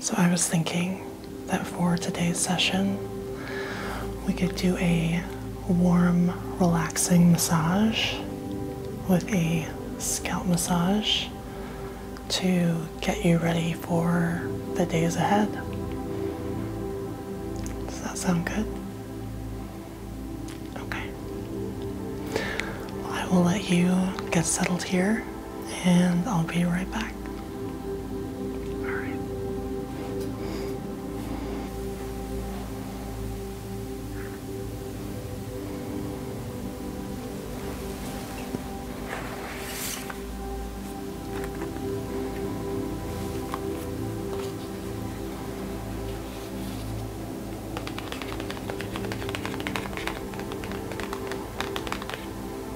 So I was thinking that for today's session, we could do a warm, relaxing massage with a scalp massage to get you ready for the days ahead. Does that sound good? Okay. I will let you get settled here and I'll be right back. All right.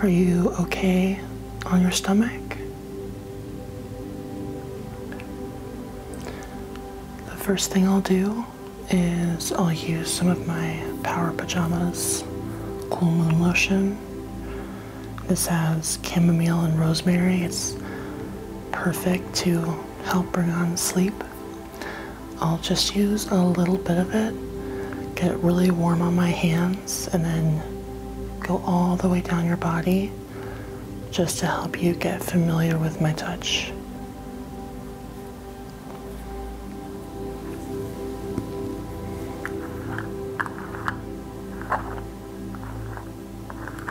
Are you okay on your stomach? The first thing I'll do is I'll use some of my Power Pajamas Cool Moon Lotion this has chamomile and rosemary. It's perfect to help bring on sleep. I'll just use a little bit of it, get it really warm on my hands, and then go all the way down your body just to help you get familiar with my touch.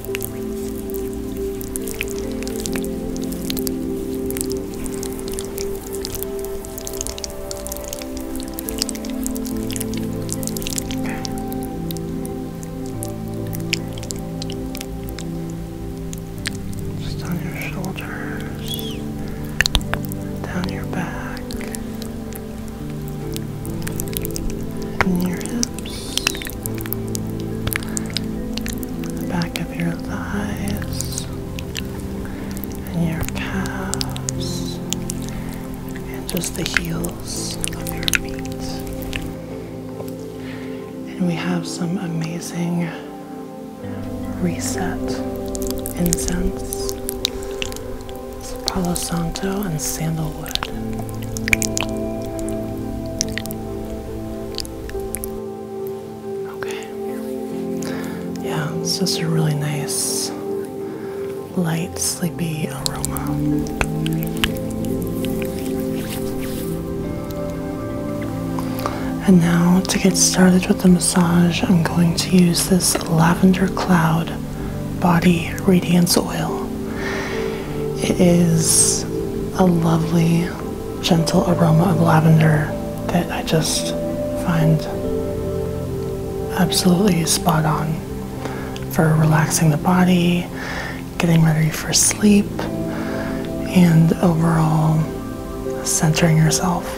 Just on your shoulders, down your back, and your hips the back of your thighs and your calves and just the heels of your feet. And we have some amazing reset incense. It's Palo Santo and sandalwood. Okay. Yeah, it's just a really nice, light, sleepy aroma. And now to get started with the massage, I'm going to use this Lavender Cloud Body Radiance Oil. It is a lovely, gentle aroma of lavender that I just find absolutely spot on for relaxing the body, getting ready for sleep, and overall centering yourself.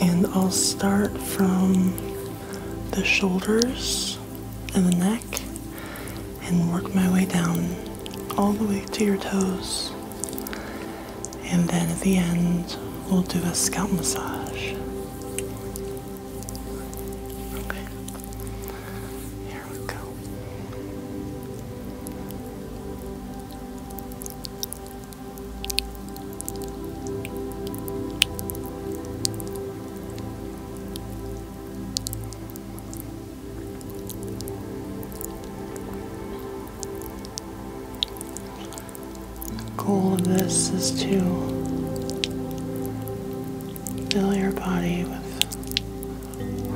And I'll start from the shoulders and the neck and work my way down all the way to your toes. And then at the end, we'll do a scalp massage. Okay. Here we go goal of this is to fill your body with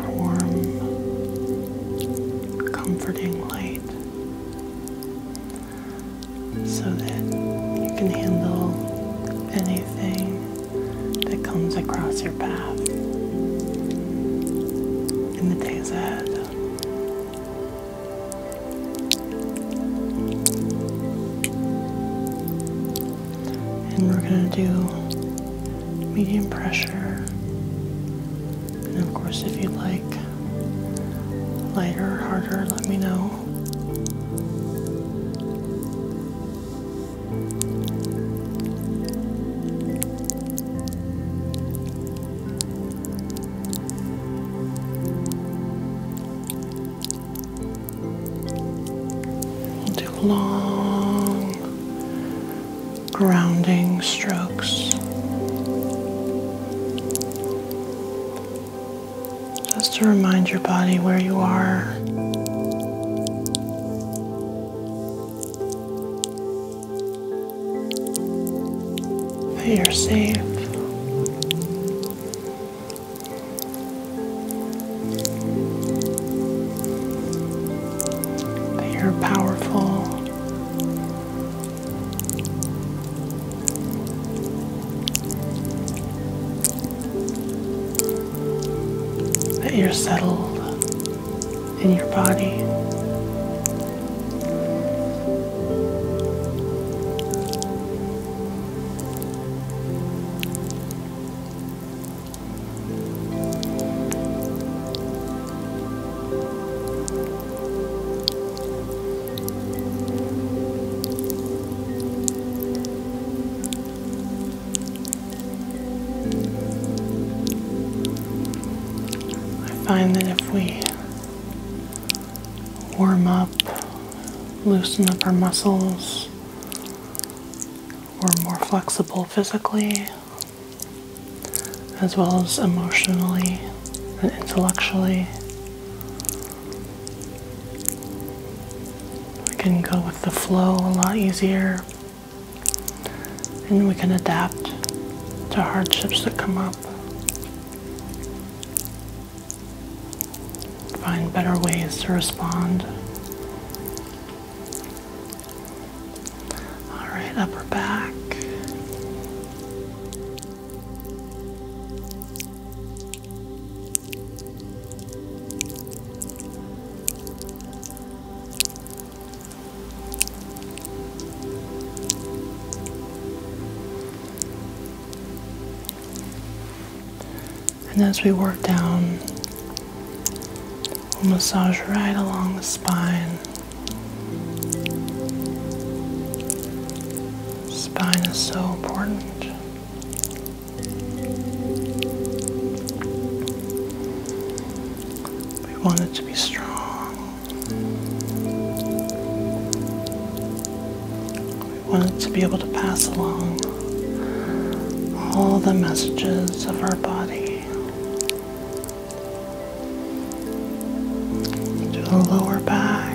warm, comforting light so that you can handle anything that comes across your path in the days ahead. And we're going to do medium pressure and of course, if you'd like lighter or harder, let me know. do long grounding strokes. Just to remind your body where you are. That you're safe. That you're powerful. That you're settled in your body. I find that if we warm up, loosen up our muscles, we're more flexible physically, as well as emotionally and intellectually. We can go with the flow a lot easier and we can adapt to hardships that come up. Find better ways to respond. All right, upper back. And as we work down massage right along the spine. Spine is so important. We want it to be strong. We want it to be able to pass along all the messages of our body to the lower back.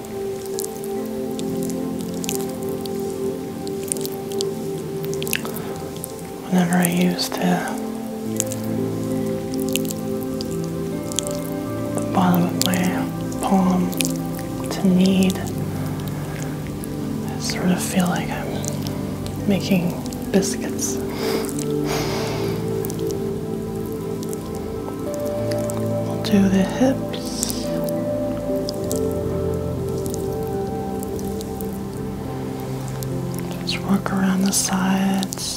Whenever I use the, bottom of my palm to knead, I sort of feel like I'm making biscuits. do the hip just work around the sides.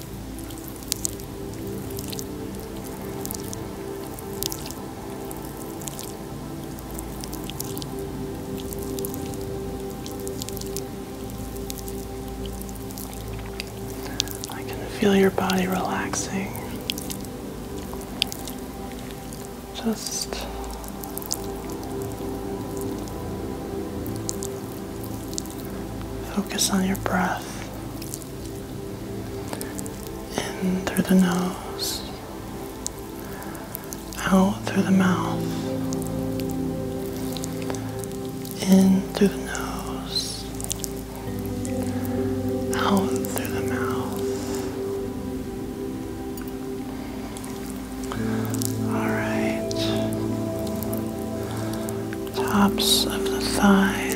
I can feel your body relaxing. Just Focus on your breath in through the nose, out through the mouth, in through the nose, out through the mouth. Alright. Tops of the thighs.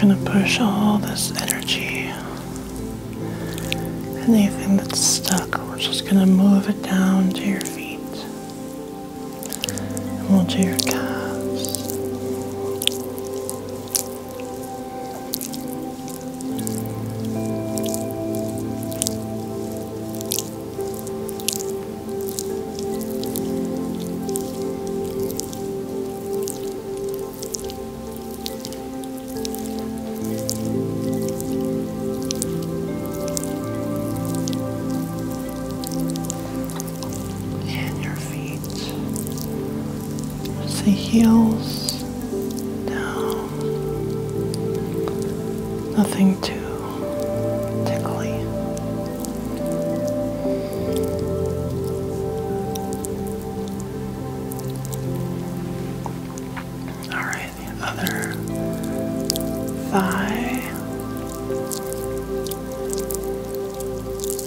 Gonna push all this energy, anything that's stuck, we're just gonna move it down to your feet. And we'll do your calves. And your feet as the heels down. Nothing too tickly. All right, the other thigh.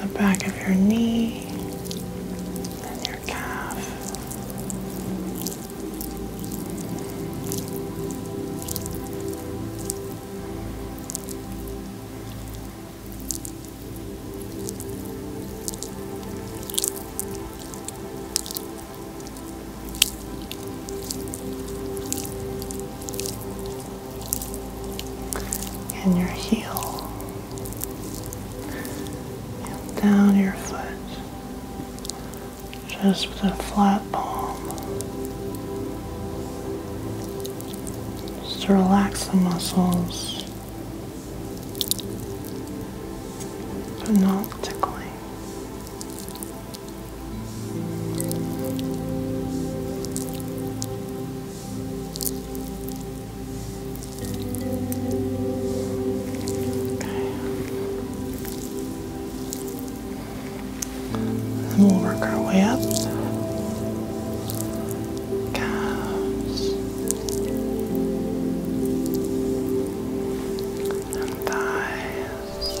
the back of your knee and your calf and your heel down your foot just with a flat palm just to relax the muscles but not tickling and we'll work our way up. Calves and thighs.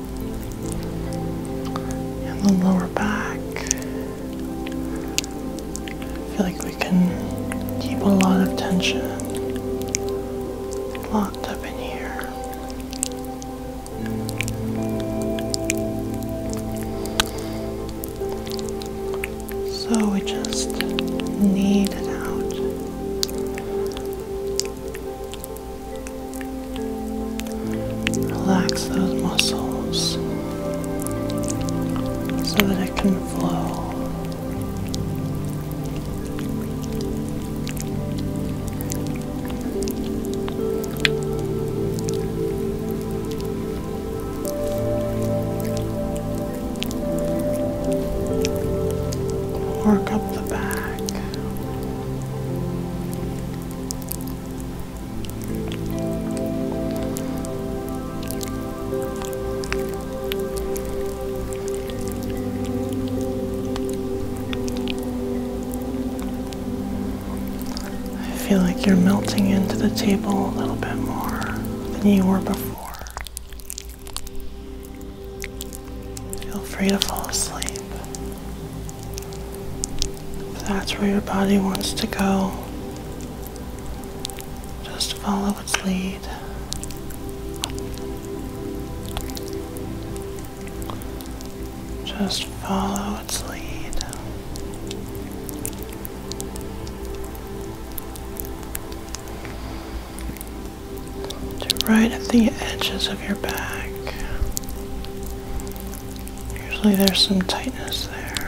and the lower back. I feel like we can keep a lot of tension locked up in here. So we just need it out. Relax those muscles so that it can flow. Work up the back. I feel like you're melting into the table a little bit more than you were before. Feel free to fall asleep that's where your body wants to go, just follow its lead. Just follow its lead. right at the edges of your back. Usually there's some tightness there.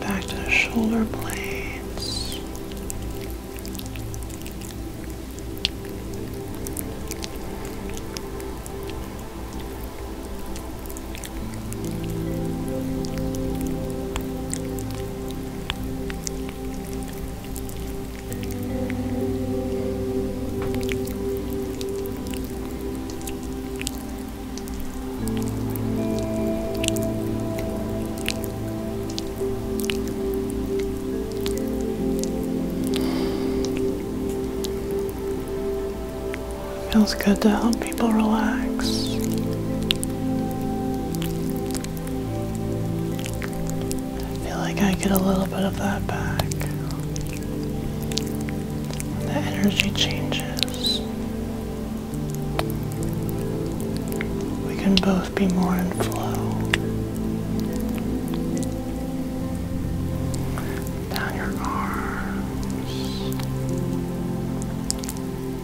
Back to the shoulder blades. Feels good to help people relax. I feel like I get a little bit of that back. The energy changes. We can both be more in flow. Down your arms.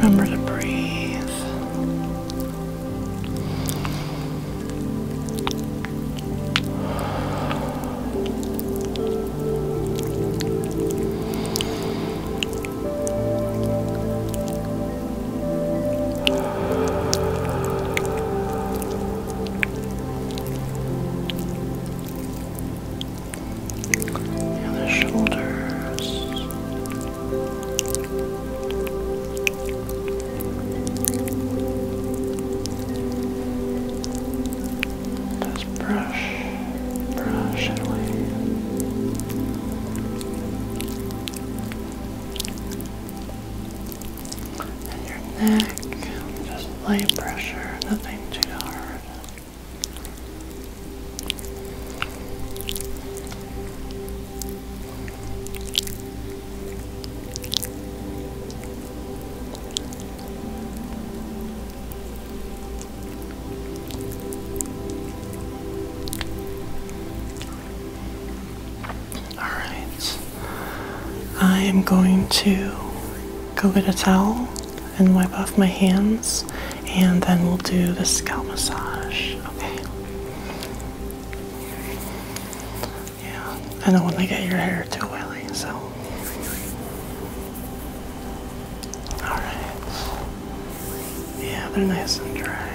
Remember to breathe the shoulders. Just brush, brush it away and your neck. Just light pressure, nothing too hard. All right. I am going to go get a towel and wipe off my hands, and then we'll do the scalp massage. Okay. Yeah, I don't want to get your hair too oily, so. Alright. Yeah, they're nice and dry.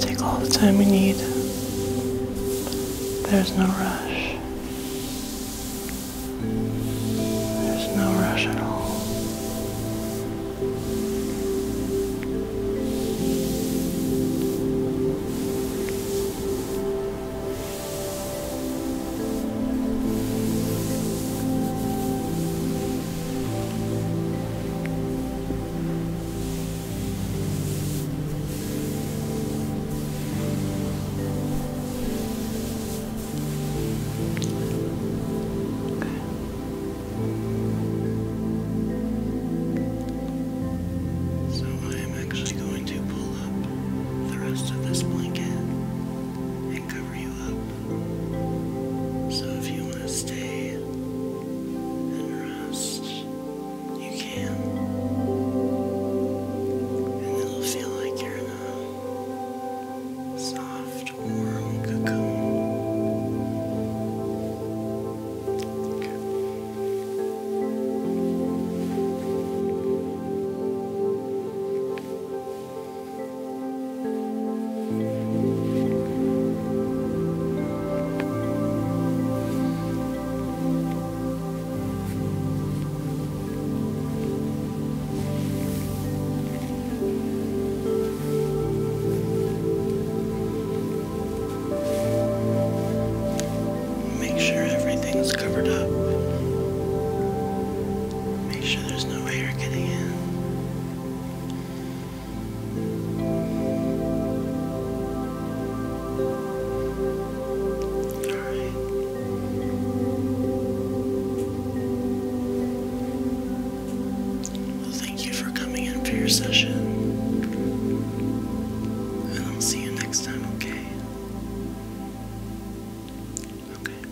Take all the time you need. There's no rush. There's no rush at all. So I am actually going to pull up the rest of this blanket and cover you up. So if you want to stay and rest, you can. And it'll feel like you're in a soft, warm cocoon. Okay. Make sure everything's covered up. Make sure there's no air getting in right. Well, thank you for coming in for your session. And I'll see you next time, okay? Okay.